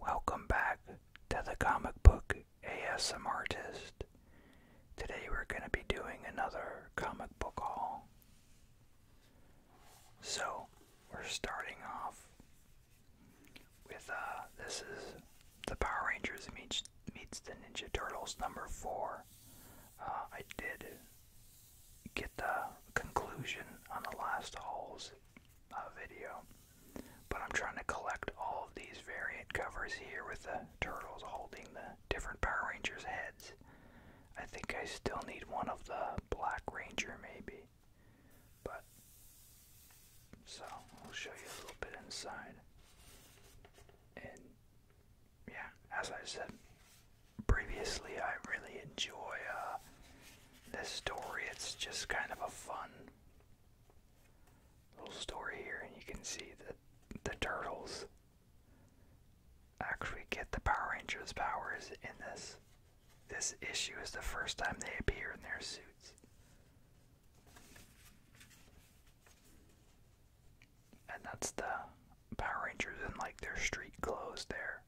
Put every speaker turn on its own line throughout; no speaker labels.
Welcome back to the comic book ASM artist. Today we're going to be doing another comic book haul. So we're starting off with uh this is the Power Rangers meets meets the Ninja Turtles number four. Uh, I did get the conclusion on the last haul's uh, video. But I'm trying to collect all of these variant covers here with the turtles holding the different Power Rangers heads. I think I still need one of the Black Ranger, maybe. But, so, I'll show you a little bit inside. And, yeah, as I said previously, I really enjoy uh, this story. It's just kind of a fun little story here, and you can see that the turtles actually get the Power Rangers powers in this. This issue is the first time they appear in their suits. And that's the Power Rangers in like their street clothes there.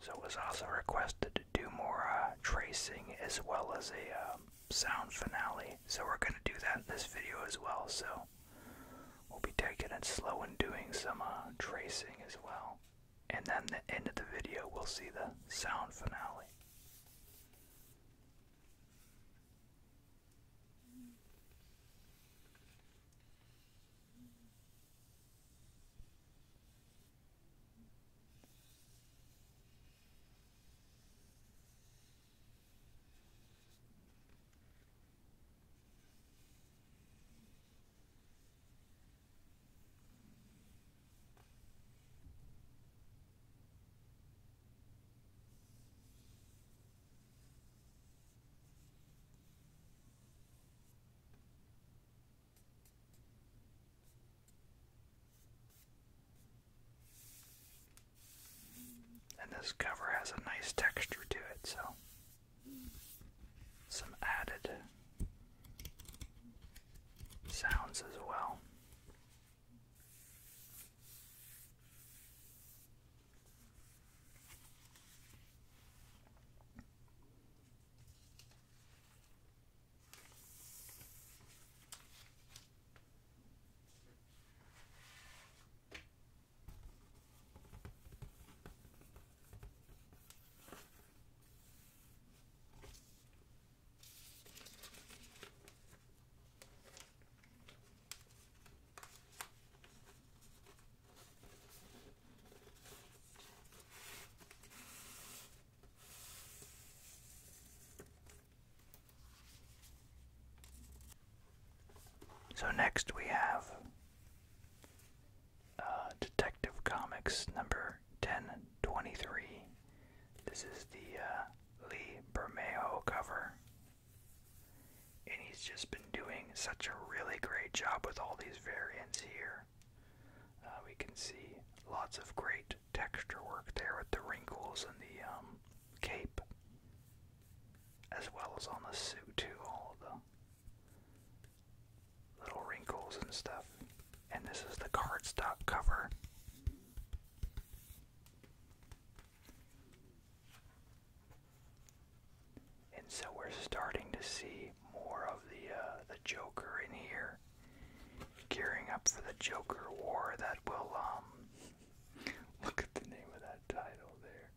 So it was also requested to do more uh, tracing as well as a um, sound finale. So we're going to do that in this video as well. So we'll be taking it slow and doing some uh, tracing as well. And then the end of the video, we'll see the sound finale. And this cover has a nice texture to it, so some added sounds as well. So next we have uh, Detective Comics number 1023. This is the uh, Lee Bermejo cover. And he's just been doing such a really great job with all these variants here. Uh, we can see lots of great texture work there with the wrinkles and the um, cape, as well as on the suit, too. All the little wrinkles and stuff. And this is the cardstock cover. And so we're starting to see more of the uh, the Joker in here, gearing up for the Joker War that will um, Look at the name of that title there.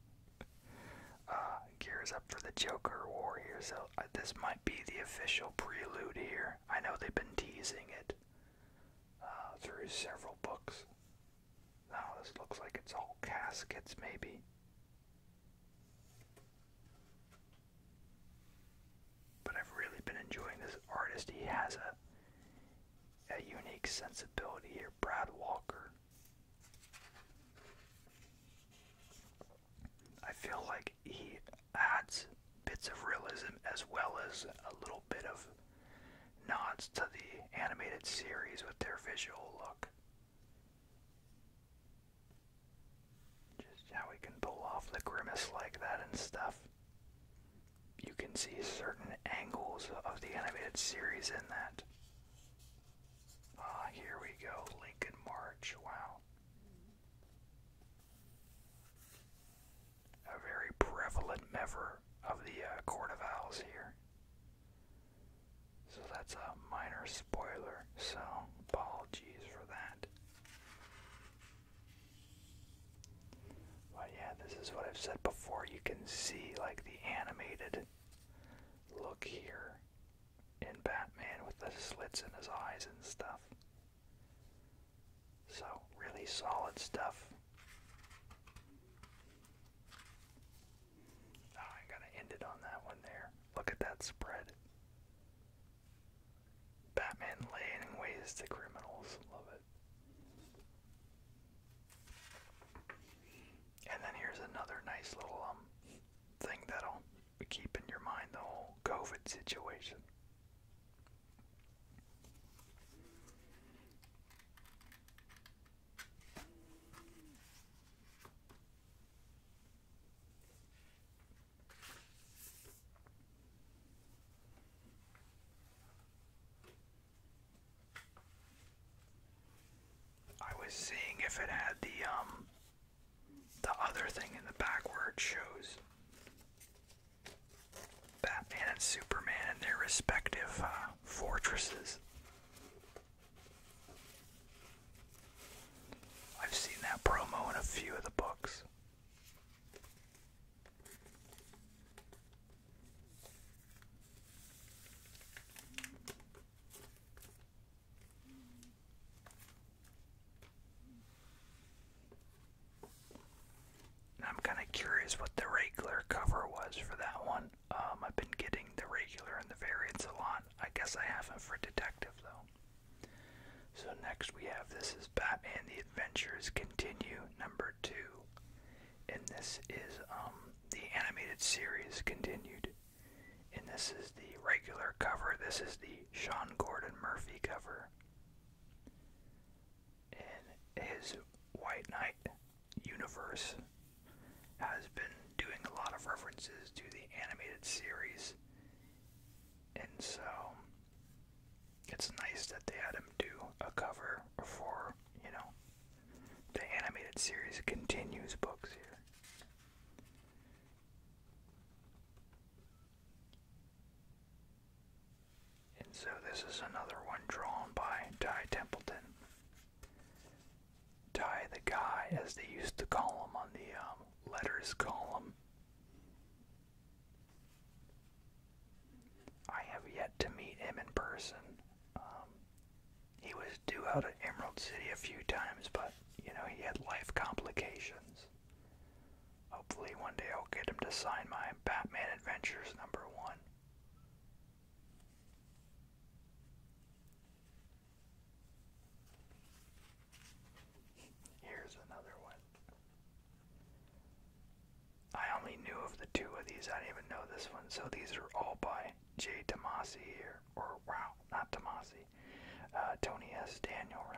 Uh, gears up for the Joker War here. So uh, this might be the official prelude here. I know they've been teasing it uh, through several books. Now this looks like it's all caskets, maybe. But I've really been enjoying this artist. He has a a unique sensibility here. Brad Walker. I feel like he adds bits of realism as well as a little bit of nods to the animated series with their visual look. Just how he can pull off the grimace like that and stuff. You can see certain angles of the animated series in that. Ah, here we go. Lincoln March. Wow. A very prevalent member of the uh, of Owls here. So that's a minor spoiler, so apologies for that. But yeah, this is what I've said before. You can see like the animated look here in Batman with the slits in his eyes and stuff. So, really solid stuff. Ah, I gotta end it on that one there. Look at that spread. Batman laying in to criminals. Love it. And then here's another nice little um thing that'll keep in your mind the whole COVID situation. I was seeing if it had the um the other thing in the back where it shows Batman and Superman and their respective uh, fortresses. I've seen that promo in a few of the books. I'm kind of curious what the regular cover was for that one. Um, I've been getting the regular and the variants a lot. I guess I haven't for Detective, though. So, next we have this is Batman The Adventures Continue, number two. And this is um, the animated series Continued. And this is the regular cover. This is the Sean Gordon Murphy cover. And his White Knight universe has been doing a lot of references to the animated series. And so it's nice that they had him do a cover for, you know, the animated series continues books here. And so this is another one drawn by Ty Templeton. Ty the guy, as they used to call him on the um, letters column. I have yet to meet him in person. Um, he was due out at Emerald City a few times, but, you know, he had life complications. Hopefully, one day I'll get him to sign my Batman Adventures number one. Here's another one. I only knew of the two of these. I didn't even know this one. So these are all by Jay Tomasi here. Or, wow, not Tomasi. Uh, Tony S. Daniel, rather.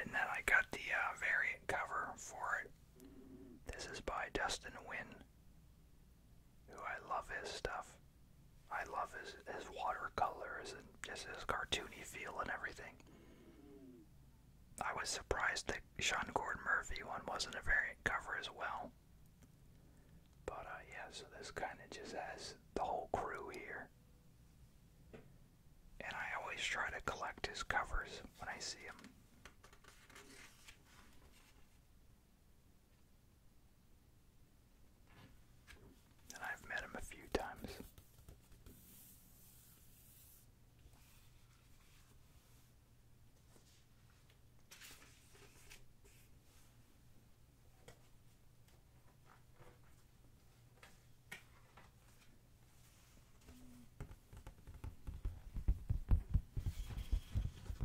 And then I got the uh, variant cover for it. This is by Dustin Winn who I love his stuff. I love his, his watercolors and just his cartoony feel and everything. I was surprised that Sean Gordon Murphy one wasn't a variant cover as well. But uh, yeah, so this kind of just has the whole crew here. And I always try to collect his covers when I see him. I've met him a few times.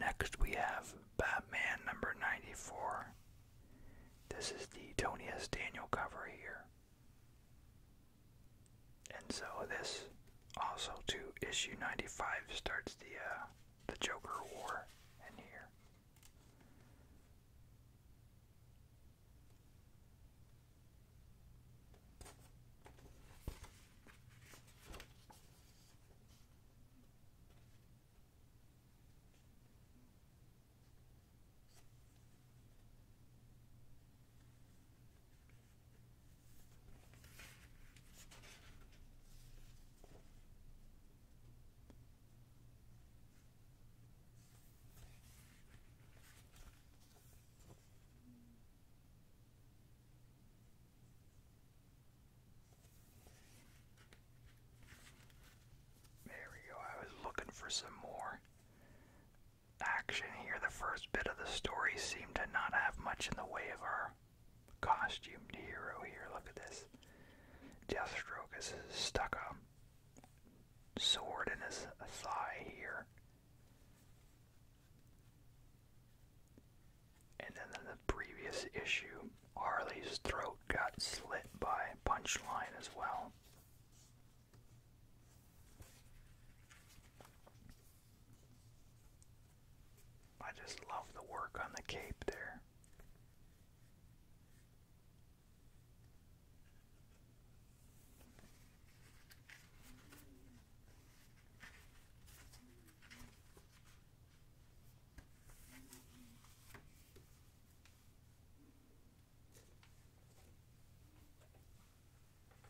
Next, we have Batman number 94. This is the Tony S. Daniel cover here. And so this also to issue 95 starts the uh, the Joker War in here. There we go. I was looking for some more action here. The first bit of the story seemed to not have much in the way of her costumed hero here. Look at this. Deathstroke has stuck a sword in his thigh here. And then in the previous issue, Harley's throat got slit by Punchline as well. I just love the work on the cape there.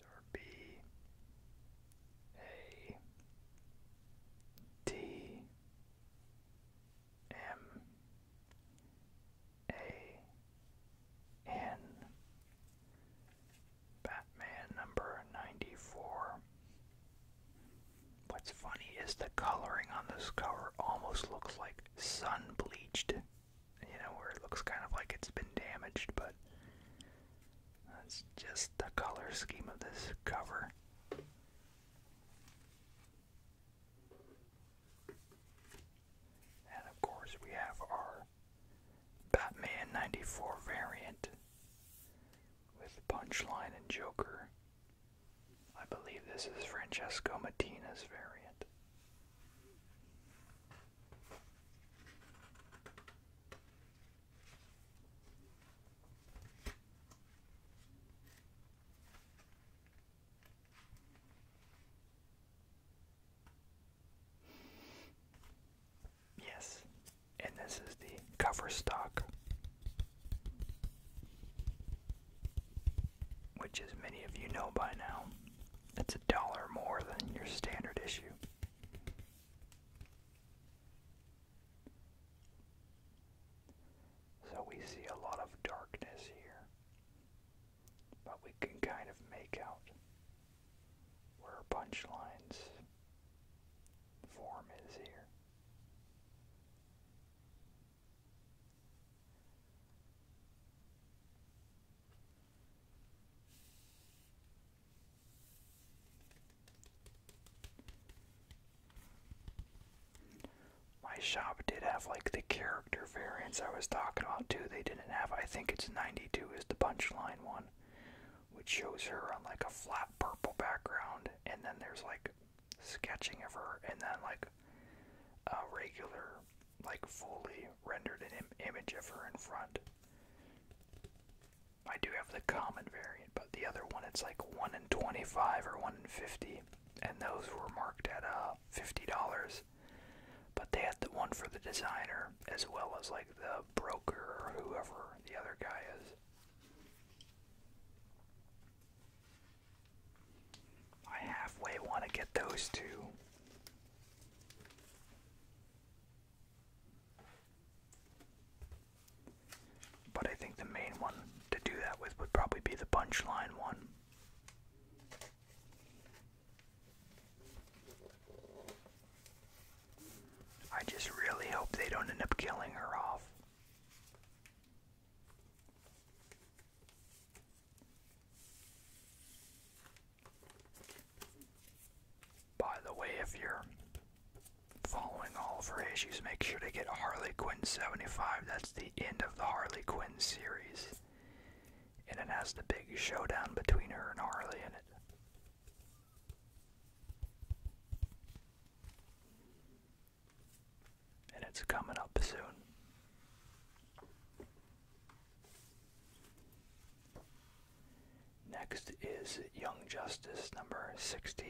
Or B A T M A N Batman number ninety four What's funny is the coloring on this cover almost looks like sun bleached. You know, where it looks kind of like it's been damaged, but that's just the color scheme of this cover. And of course, we have our Batman 94 variant with Punchline and Joker. I believe this is Francesco Matina's variant. Yes, and this is the cover stock which as many of you know by now, it's a dollar more than your standard issue. So we see a lot of darkness here, but we can kind of make out where punchlines form is here. My shop did have like the character variants I was talking about too. They didn't have, I think it's 92 is the punchline one, which shows her on like a flat purple background, and then there's like sketching of her and then like a regular like fully rendered an image of her in front i do have the common variant but the other one it's like 1 in 25 or 1 in 50 and those were marked at uh, $50 but they had the one for the designer as well as like the broker or whoever the other guy is I halfway want to get those two. But I think the main one to do that with would probably be the punchline one. I just really hope they don't end up killing her off. By the way, if you're following all of her issues, make sure to get Harley Quinn 75. That's the end of the Harley Quinn series. And it has the big showdown between her and Harley in it and it's coming up soon. Next is Young Justice number 16.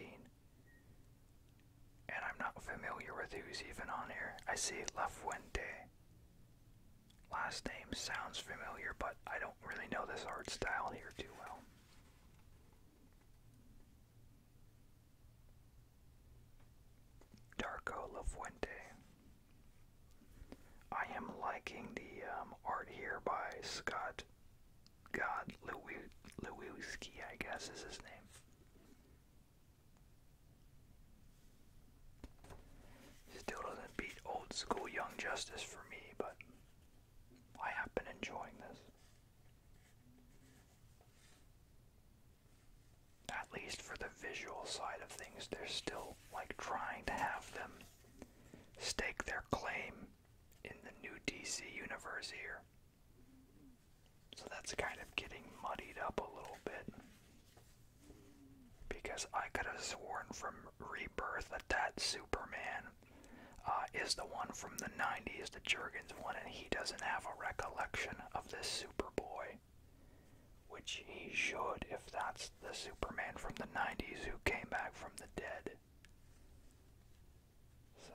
And I'm not familiar with who's even on here. I see Lafuente. Last name sounds familiar, but I don't really know this art style here too well. Darko Lafuente. I am liking the um, art here by Scott God Lewiski, I guess is his name. Still doesn't beat old school Young Justice for me, but I have been enjoying this. At least for the visual side of things, they're still like trying to have them stake their claim in the new DC universe here. So that's kind of getting muddied up a little bit. Because I could have sworn from Rebirth that that Superman uh, is the one from the 90s the Jurgens. Dragons and he doesn't have a recollection of this Superboy. Which he should if that's the Superman from the 90s who came back from the dead. So.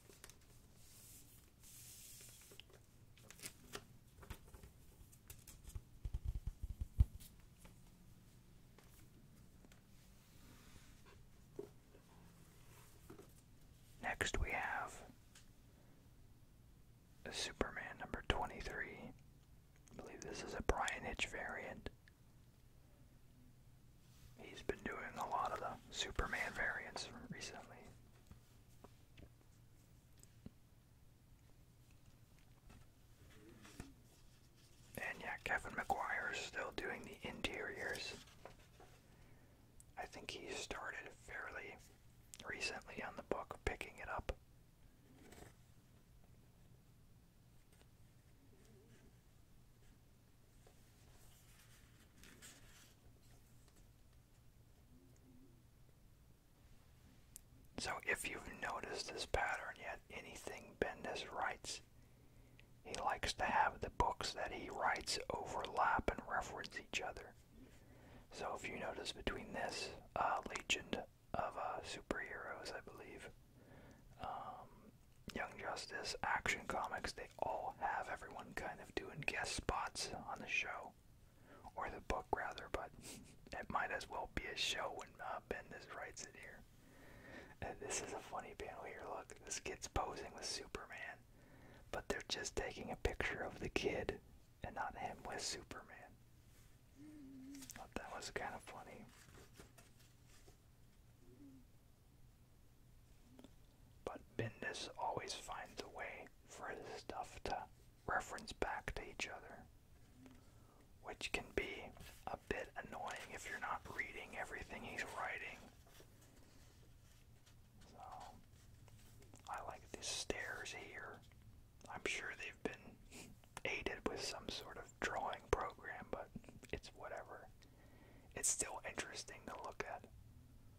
Next, we have Superman number 23. I believe this is a Brian Hitch variant. He's been doing a lot of the Superman variants recently. And yeah, Kevin McGuire is still doing the interiors. I think he started fairly recently on the book, picking it up. So, if you've noticed this pattern yet, anything Bendis writes, he likes to have the books that he writes overlap and reference each other. So, if you notice between this uh, Legend of uh, Superheroes, I believe, um, Young Justice, Action Comics, they they all have everyone kind of doing guest spots on the show, or the book rather, but it might as well be a show when uh, Ben Bendis writes it here. this is a funny panel here. Look, this kid's posing with Superman, but they're just taking a picture of the kid and not him with Superman. Thought that was kind of funny. But Bendis always finds a way for his stuff to reference back to each other, which can be a bit annoying if you're not reading everything he's writing. I like these stairs here. I'm sure they've been aided with some sort of drawing program, but it's whatever. It's still interesting to look at.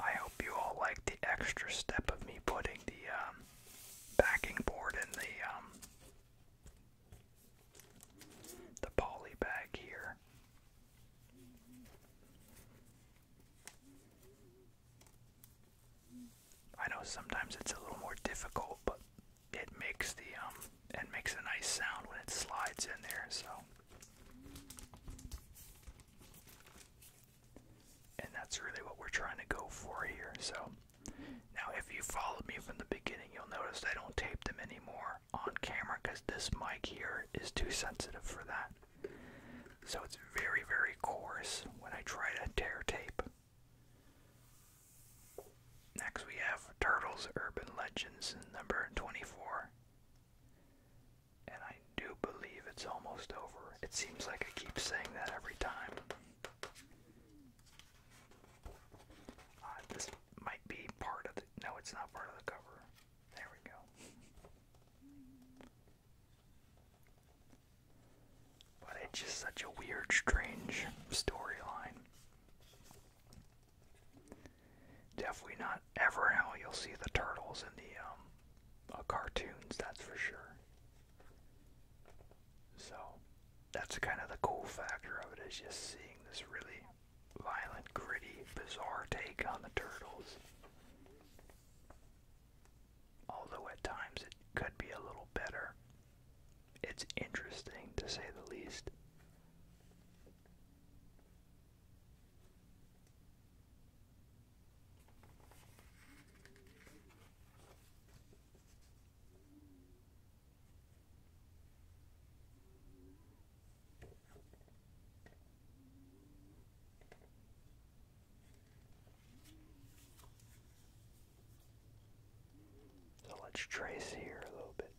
I hope you all like the extra step of me putting the um, backing board in the um, the poly bag here. I know sometimes it's a little more difficult, but it makes the um it makes a nice sound when it slides in there so and that's really what we're trying to go for here so now if you followed me from the beginning you'll notice I don't tape them anymore on camera because this mic here is too sensitive for that so it's very very coarse when I try to tear tape Next we have Turtles Urban Legends number 24. And I do believe it's almost over. It seems like I keep saying that every time. Uh, this might be part of the. No, it's not part of the cover. There we go. But it's just such a weird, strange storyline. Definitely not ever how you'll see the turtles in the um, uh, cartoons, that's for sure. So, that's kind of the cool factor of it is just seeing this really violent, gritty, bizarre take on the turtles. Although at times it could be a little better it's interesting to say the least. So let's trace here a little bit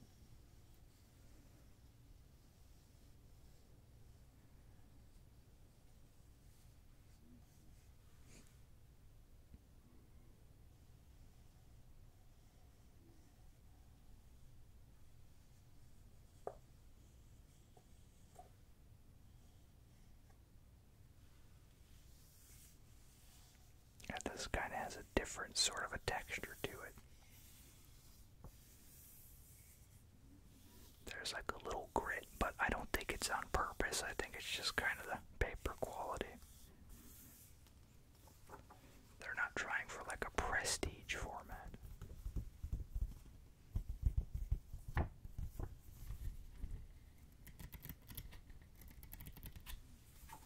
this kind of has a different sort of a texture to it. There's like a little grit, but I don't think it's on purpose. I think it's just kind of the paper quality. They're not trying for like a prestige format.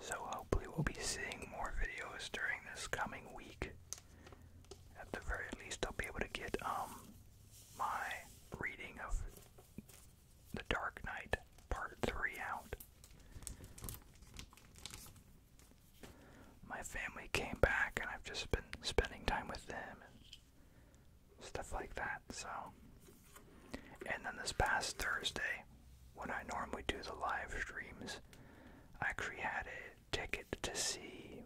So hopefully we'll be seeing more videos during this coming week. At the very least I'll be able to get um my reading of The Dark Knight Part 3 out. My family came back and I've just been spending time with them and stuff like that. So, and then this past Thursday, when I normally do the live streams, I actually had a ticket to see,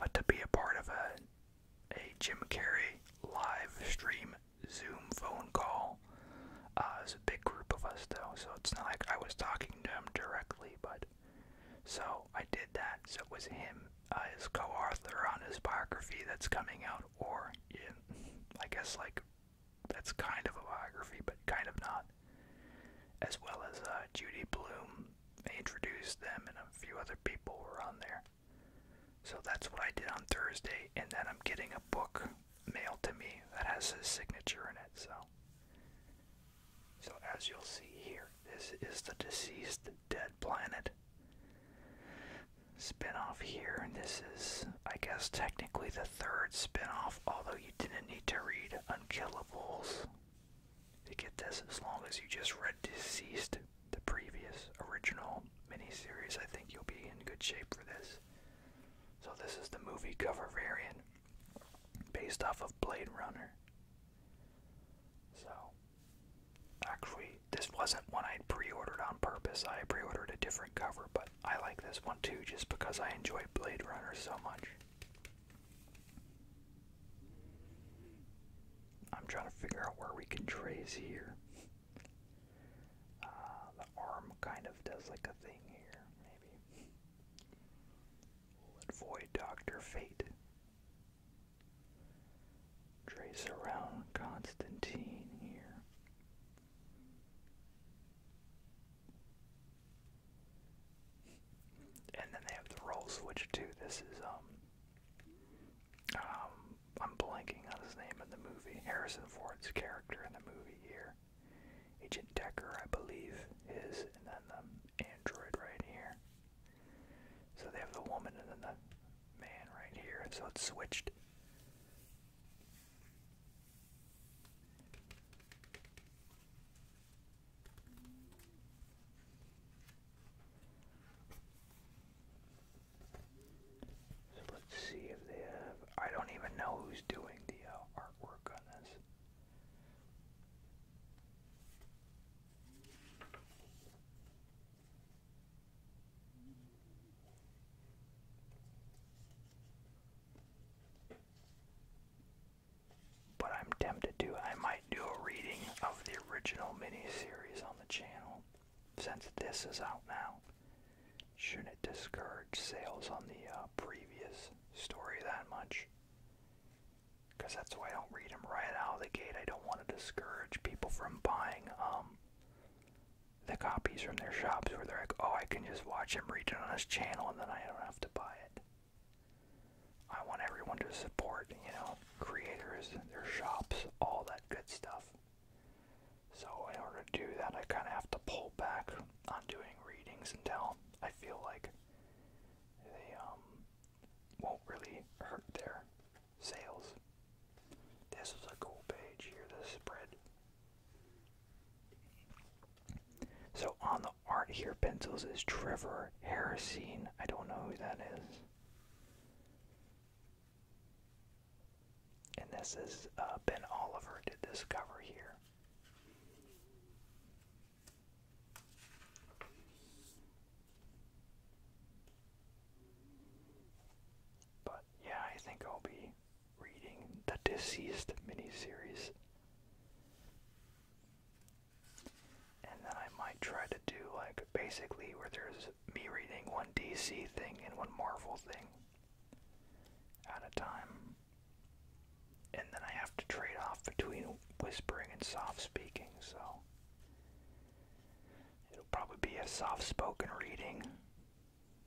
uh, to be a part of a, a Jim Carrey live stream Zoom phone call. Uh, it was a big group of us though, so it's not like I was talking to him directly, but so I did that. So it was him, uh, his co-author on his biography that's coming out, or in, I guess like that's kind of a biography, but kind of not, as well as uh, Judy Bloom. They introduced them, and a few other people were on there. So that's what I did on Thursday, and then I'm getting a book mailed to me that has his signature in it. So, so as you'll see here, this is the deceased dead planet spin-off here and this is i guess technically the third spin-off although you didn't need to read unkillables to get this as long as you just read deceased the previous original miniseries i think you'll be in good shape for this so this is the movie cover variant based off of blade runner so actually this wasn't one i pre-ordered on purpose i pre-ordered a different cover, but I like this one too just because I enjoy Blade Runner so much. I'm trying to figure out where we can trace here. Uh, the arm kind of does like a thing here, maybe. avoid Dr. Fate. Trace around Constantine here. And then they have the roll switched too. This is um, um, I'm blanking on his name in the movie. Harrison Ford's character in the movie here, Agent Decker, I believe, is, and then the android right here. So they have the woman and then the man right here. So it's switched. So let's see if they have. I don't even know who's doing the uh, artwork on this. But I'm tempted to. I might do a reading of the original mini series on the channel since this is out now. Shouldn't it discourage sales on the uh, previous story that much? Because that's why I don't read them right out of the gate. I don't want to discourage people from buying um, the copies from their shops where they're like, oh, I can just watch him read it on his channel and then I don't have to buy it. I want everyone to support, you know, creators, their shops, all that good stuff. So, in order to do that, I kind of have to pull back on doing readings until I feel like they um, won't really hurt their sales. This is a cool page here, this spread. So on the art here, pencils is Trevor Harrison. I don't know who that is. And this is uh, Ben Oliver did discover here. But yeah, I think I'll be reading the Deceased miniseries. And then I might try to do like basically where there's me reading one DC thing and one Marvel thing at a time. And then I have to trade off between whispering and soft speaking, so it'll probably be a soft spoken reading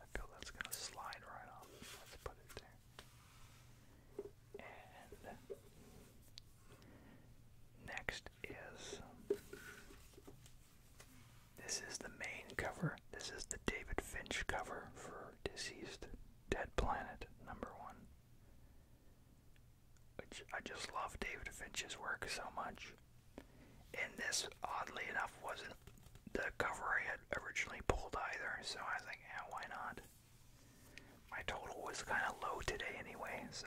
I feel that's gonna slide right off. Let's put it there. And next is this is the main cover. This is the David Finch cover for Deceased. Dead Planet, number one. Which I just love David Finch's work so much. And this, oddly enough, wasn't the cover I had originally pulled either, so I was like, yeah, why not? My total was kind of low today anyway, so.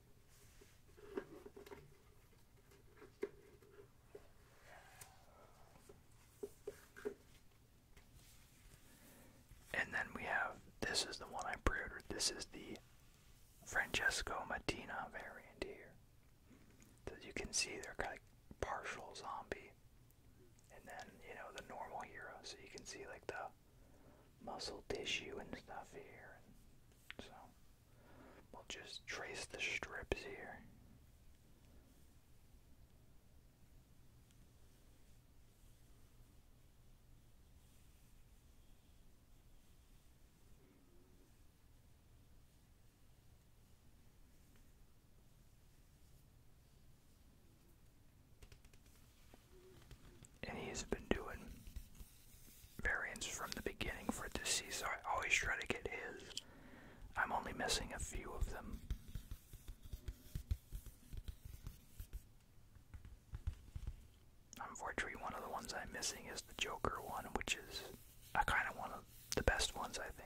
And then we have this is the one I pre ordered. This is the Francesco Mattina variant here. As you can see they're kind of partial zombie. And then, you know, the normal hero. So you can see like the muscle tissue and stuff here. so We'll just trace the strips here. And he's been doing variants from the beginning for this season. I always try to get his. I'm only missing a few of them. Unfortunately, one of the ones I'm missing is the Joker one, which is a kind of one of the best ones, I think.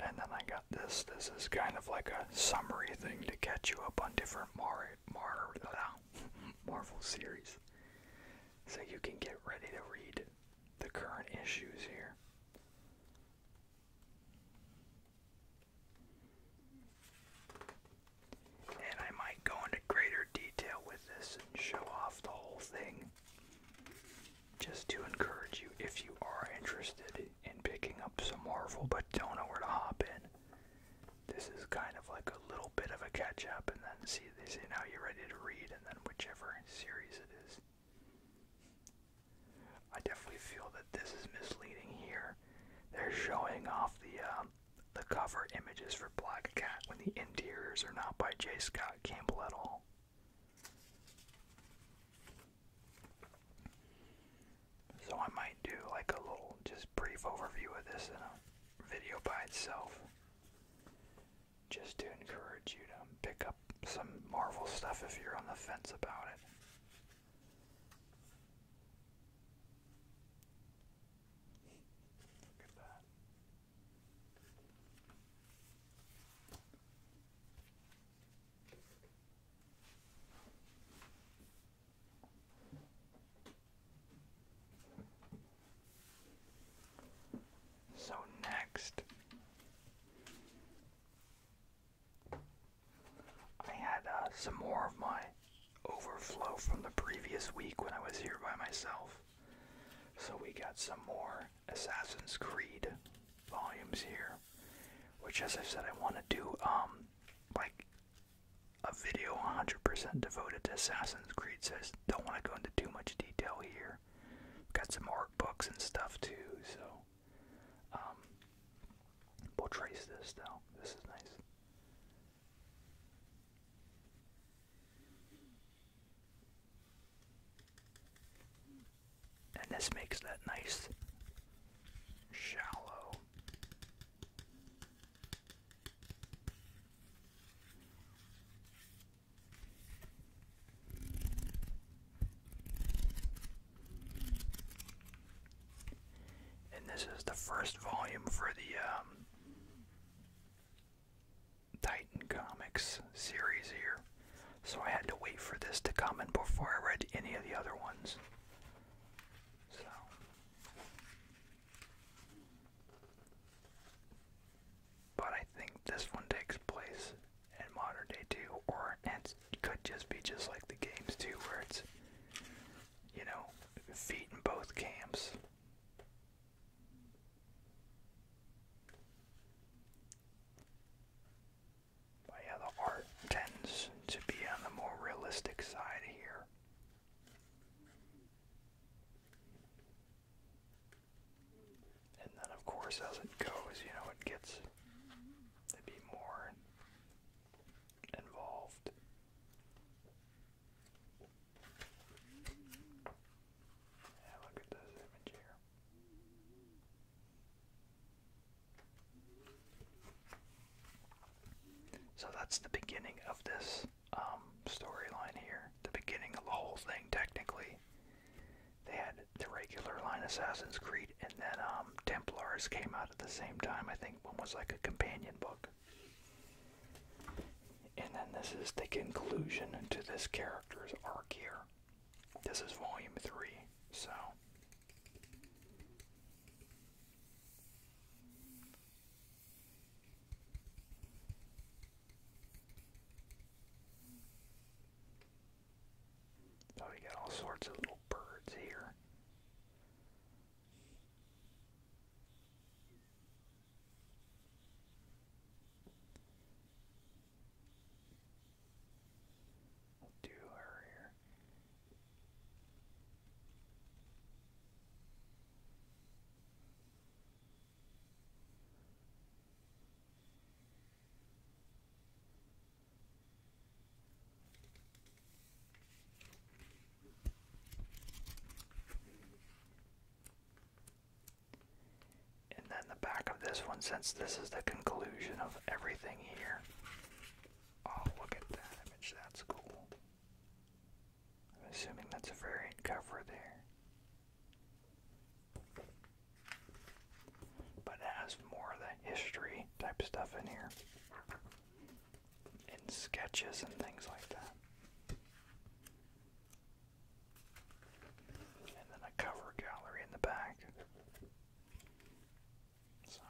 And then I got this. This is kind of like a summary thing to catch you up on different Mar Mar Marvel series. So you can get ready to read the current issues here. And I might go into greater detail with this and show off the whole thing just to encourage you if you are interested in picking up some Marvel but don't know where to hop in. This is kind of like a little bit of a catch up and then see they say now you're ready to read and then whichever series it is I definitely feel that this is misleading here. They're showing off the um, the cover images for Black Cat when the interiors are not by Jay Scott Campbell at all. So I might do like a little just brief overview of this in a video by itself just to encourage you to pick up some Marvel stuff if you're on the fence about it. Look at that. So next I had uh, some more of my overflow from the previous week when I was here by myself. So we got some more Assassin's Creed volumes here, which, as I said, I want to do um like a video 100% devoted to Assassin's Creed. Says don't want to go into too much detail here. got some art books and stuff too, so well. Um, portrays this though. This is nice. And this makes that nice shallow and this is the first volume for the um, Titan Comics series here. So I had to wait for this to come in before I read any of the other ones. So but I think this one takes place in modern day too, or it could just be just like the games too, Words, you know feet in both camps. But yeah, the art tends to be on the more realistic side here. And then, of course, as it goes, you know, it gets to be more involved. Yeah, look at this image here. So that's the beginning of this um, storyline here. The beginning of the whole thing, technically. They had the regular line Assassin's Creed, and then um, Templars came out at the same time. I think one was like a companion book. And then this is the conclusion to this character's arc here. This is volume three, so. Oh, you got all sorts of little birds here. we here. And then the back of this one, since this is the conclusion of everything here. Oh, look at that image, that's cool. I'm assuming that's a variant cover there. But it has more of the history type stuff in here. And sketches and things like that. And then a cover gallery in the back. So,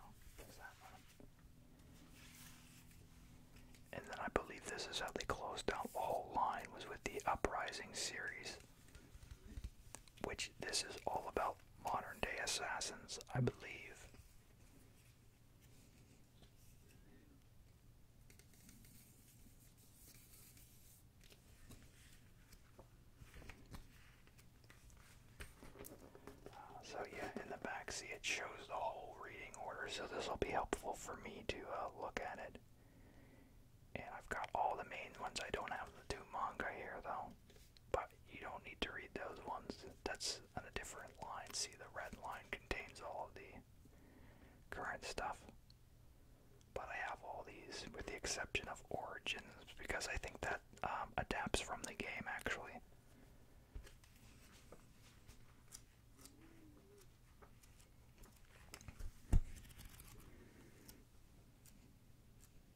And then I believe this is how they closed out the line was with the Uprising series. Which this is all about modern day assassins, I believe. Uh, so yeah, in the back, see shows the whole reading order, so this will be helpful for me to uh, look at it and I've got all the main ones. I don't have the two manga here though. But you don't need to read those ones. That's on a different line. See, the red line contains all of the current stuff. But I have all these with the exception of Origins because I think that um, adapts from the game actually.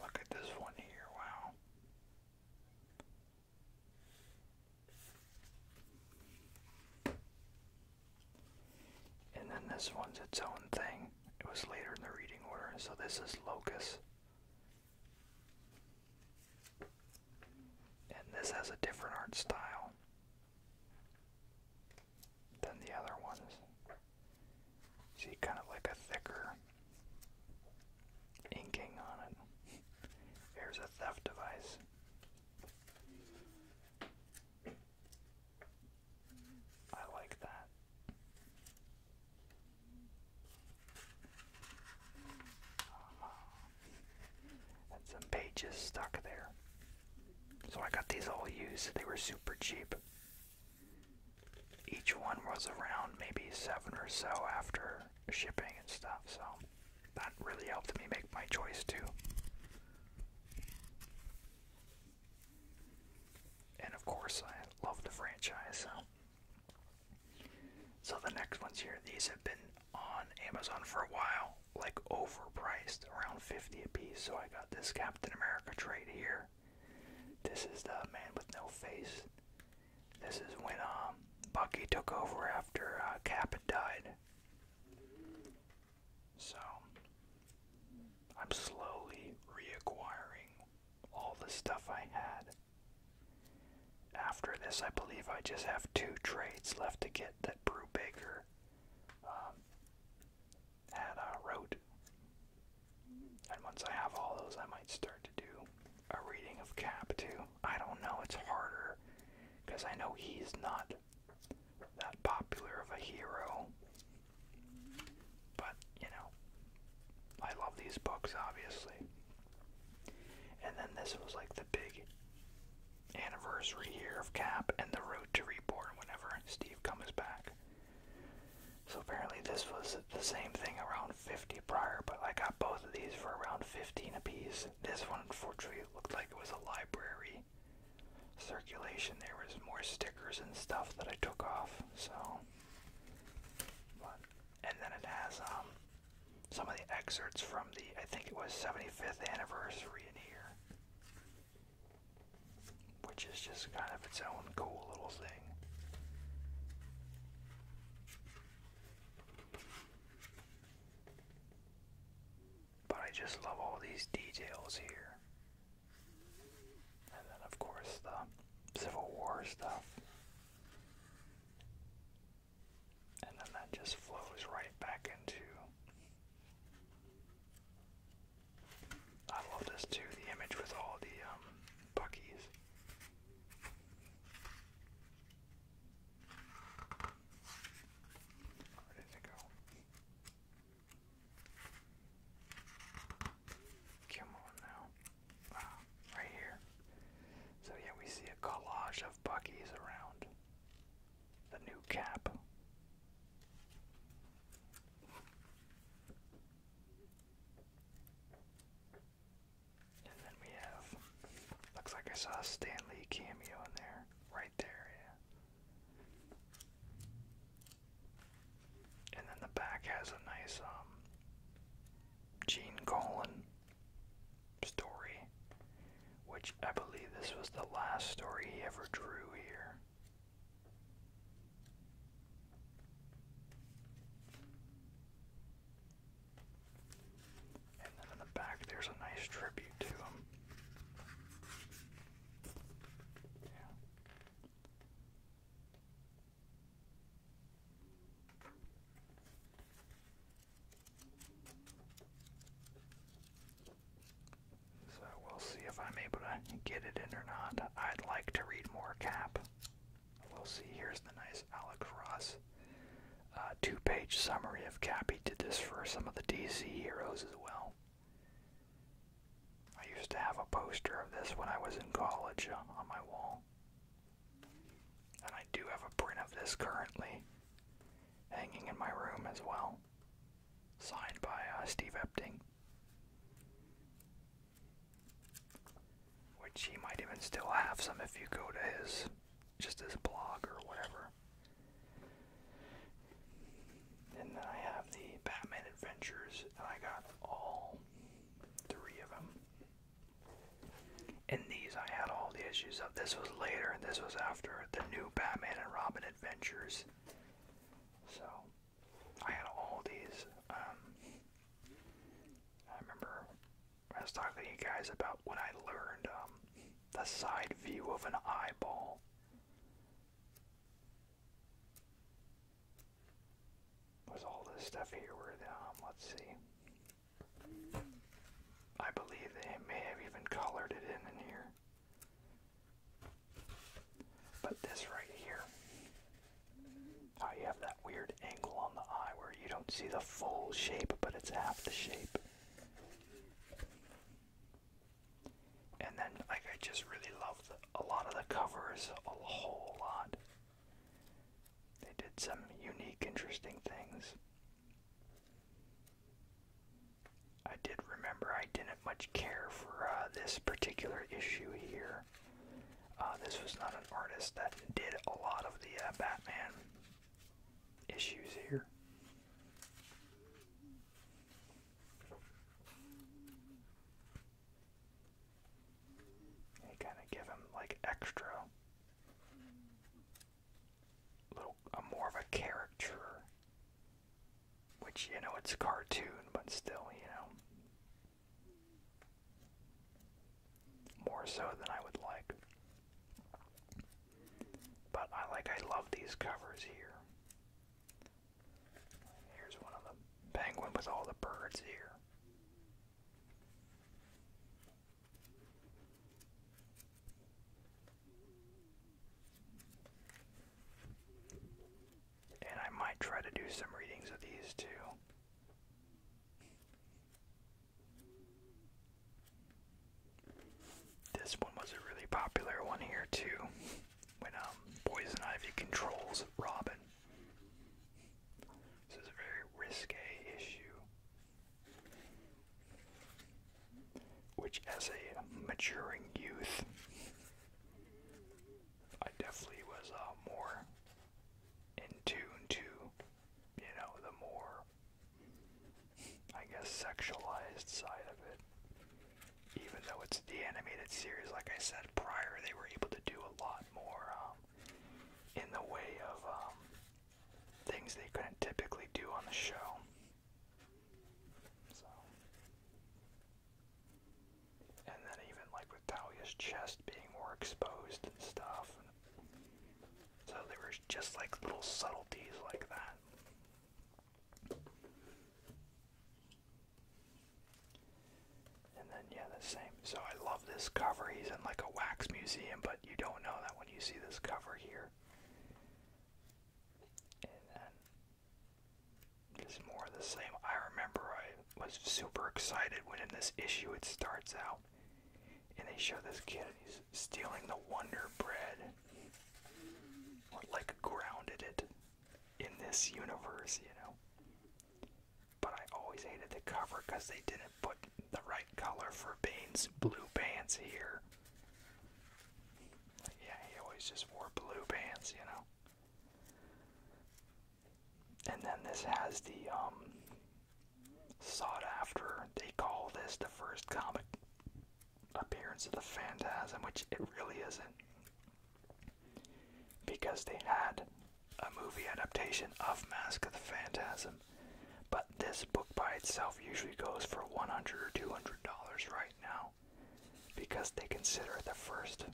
Look at this one here, wow. And then this one's its own thing. It was later in the reading order, so this is Locus. And this has a different art style than the other ones. See, kind of like a thicker inking on it. Here's a theft device. I like that. Uh-huh and some pages stuck there. So I got these all used. They were super cheap. Each one was around maybe seven or so after shipping and stuff, so that really helped me make my choice too. And of course, I love the franchise. So, the next ones here, these have been on Amazon for a while, like overpriced, around 50 a piece. So I got this Captain America trade here. This is the Man with No Face. This is when um, Bucky took over after uh, Cap had died. So I'm slowly reacquiring all the stuff I had. After this, I believe I just have two trades left to get that Brew Baker um, at And once I have all those, I might start to do a reading of Cap too. I don't know, it's harder because I know he's not that popular of a hero. But, you know, I love these books, obviously. And then this was like the big anniversary year of Cap and the Road to Reborn whenever Steve comes back. So apparently this was the same thing around 50 prior, but I got both of these for around 15 apiece. This one unfortunately looked like it was a library circulation. There was more stickers and stuff that I took off, so and then it has um, some of the excerpts from the I think it was 75th anniversary in here. Which is just kind of its own cool little thing. But I just love all these details here. And then, of course, the Civil War stuff. And then that just flows right back into I love this too, the image with all the um, Where did they go? Come on now. Ah, right here. So yeah, we see a collage of Buckies around the new cap. And then we have, looks like I saw Stanley cameo in there, right there, yeah. And then the back has a nice, um, Gene Colan story which I believe this was the last story he ever drew here. And then in the back, there's a nice tribute to him. Yeah. So we'll see if I'm able to get it in or not. I'd like to read more Cap. We'll see. Here's the nice Alec Ross uh, two page summary of Cap. He did this for some of the DC heroes as well. I used to have a poster of this when I was in college uh, on my wall. And I do have a print of this currently hanging in my room as well signed by uh, Steve Epting, which he might even still have some if you go to his just his blog or whatever. And then I have the Batman Adventures, I got all three of them. In these, I had all the issues of. This was later, and this was after the new Batman and Robin adventures. So I had all these. Um, I remember I was talking to you guys about when I learned um, the side view of an eyeball. Was all this stuff here? Where um, let's see. I believe they may have even colored it in in here. But this right here, how you have that weird angle on the eye where you don't see the full shape, but it's half the shape. And then, like, I just really love a lot of the covers, a whole lot. They did some unique, interesting things. I did remember I didn't much care for uh, this particular issue here. Uh, this was not an artist that did a lot of the uh, Batman issues here. They kind of give him like extra little a more of a character, which you know it's a cartoon, but still, you know, more so than I would like. But I like I love these covers here. Here's one of the penguin with all the birds here. And I might try to do some readings of these too. This one was a really popular one here too, when um, Poison Ivy controls Robin. This is a very risque issue which as a maturing youth, I definitely was uh, more in tune to, you know, the more, I guess, sexualized side of it. Even though it's the animated series, like I said prior, they were able to do a lot more um, in the way of um, things they couldn't typically do on the show. So. And then even like with Talia's chest being more exposed and stuff. So there were just like little subtleties like that. And then yeah, the same. So I love this cover. He's in like a wax museum, but you don't know that when you see this cover here. It's more the same. I remember I was super excited when in this issue it starts out and they show this kid and he's stealing the Wonder Bread. What, like, grounded it in this universe, you know? But I always hated the cover because they didn't put the right color for Bane's blue pants here. Yeah, he always just wore blue pants, you know. And then this has the um sought after. They call this the first comic appearance of the Phantasm, which it really isn't. Because they had a movie adaptation of Mask of the Phantasm. But this book by itself usually goes for 100 or 200 dollars right now because they consider it the first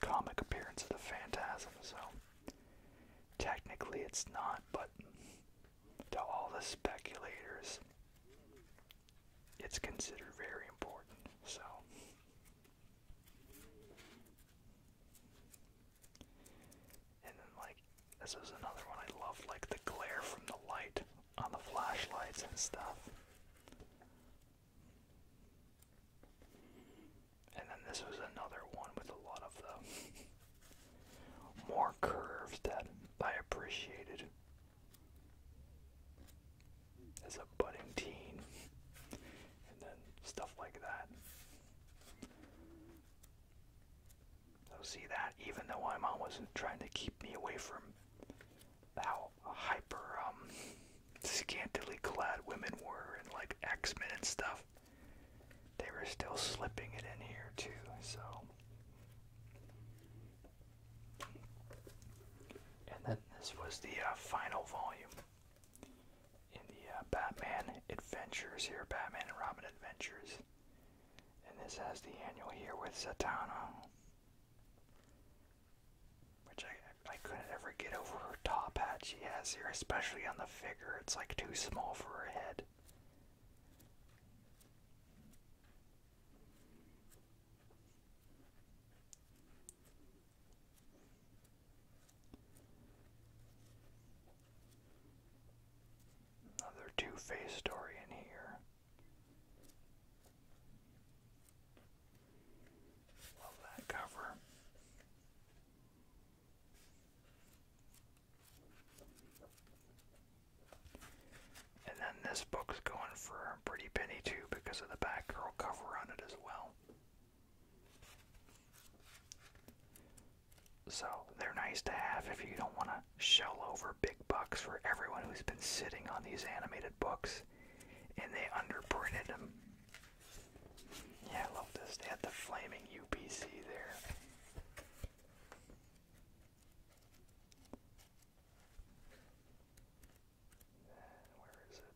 comic appearance of the Phantasm. So technically it's not, but to all the speculators, it's considered very important. So. And like, this is another one I love, like the glare from the light on the flashlights and stuff. And then this was another one with a lot of the more curves that I appreciated as a budding teen. And then stuff like that. So see that even though my mom wasn't trying to keep me away from how hyper um, scantily clad women were and like X-Men and stuff. They were still slipping it in here too, so. And then this was the uh, final volume in the uh, Batman Adventures here, Batman and Robin Adventures. And this has the annual here with Satana. Which I, I couldn't ever get over her top hat she has here, especially on the figure. It's like too small for her head. Another Two Face story in here. Love that cover. And then this book's going for a pretty penny too because of the Batgirl cover on it as well. So they're nice to have if you don't want to shell over big bucks for everyone who's been sitting on these animated books and they underprinted them. Yeah, I love this. They had the flaming UPC there. Where is it?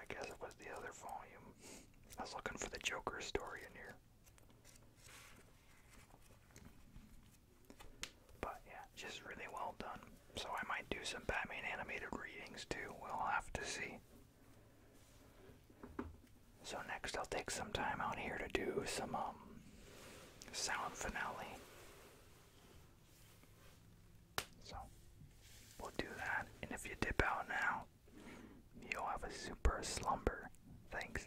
I guess it was the other volume. I was looking for the Joker story in here. But yeah, just really well done. So I might do some Batman animated readings too. We'll have to see. So next I'll take some time out here to do some um, sound finale. So we'll do that and if you dip out now, you'll have a super slumber. Thanks.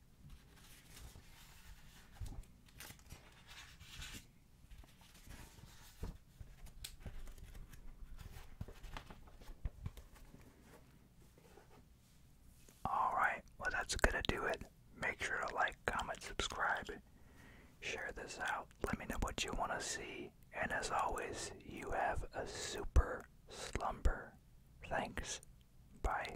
Alright, well, that's gonna do it. Make sure to like, comment, subscribe, share this out. Let me know what you want to see. And as always, you have a super slumber. Thanks. Bye.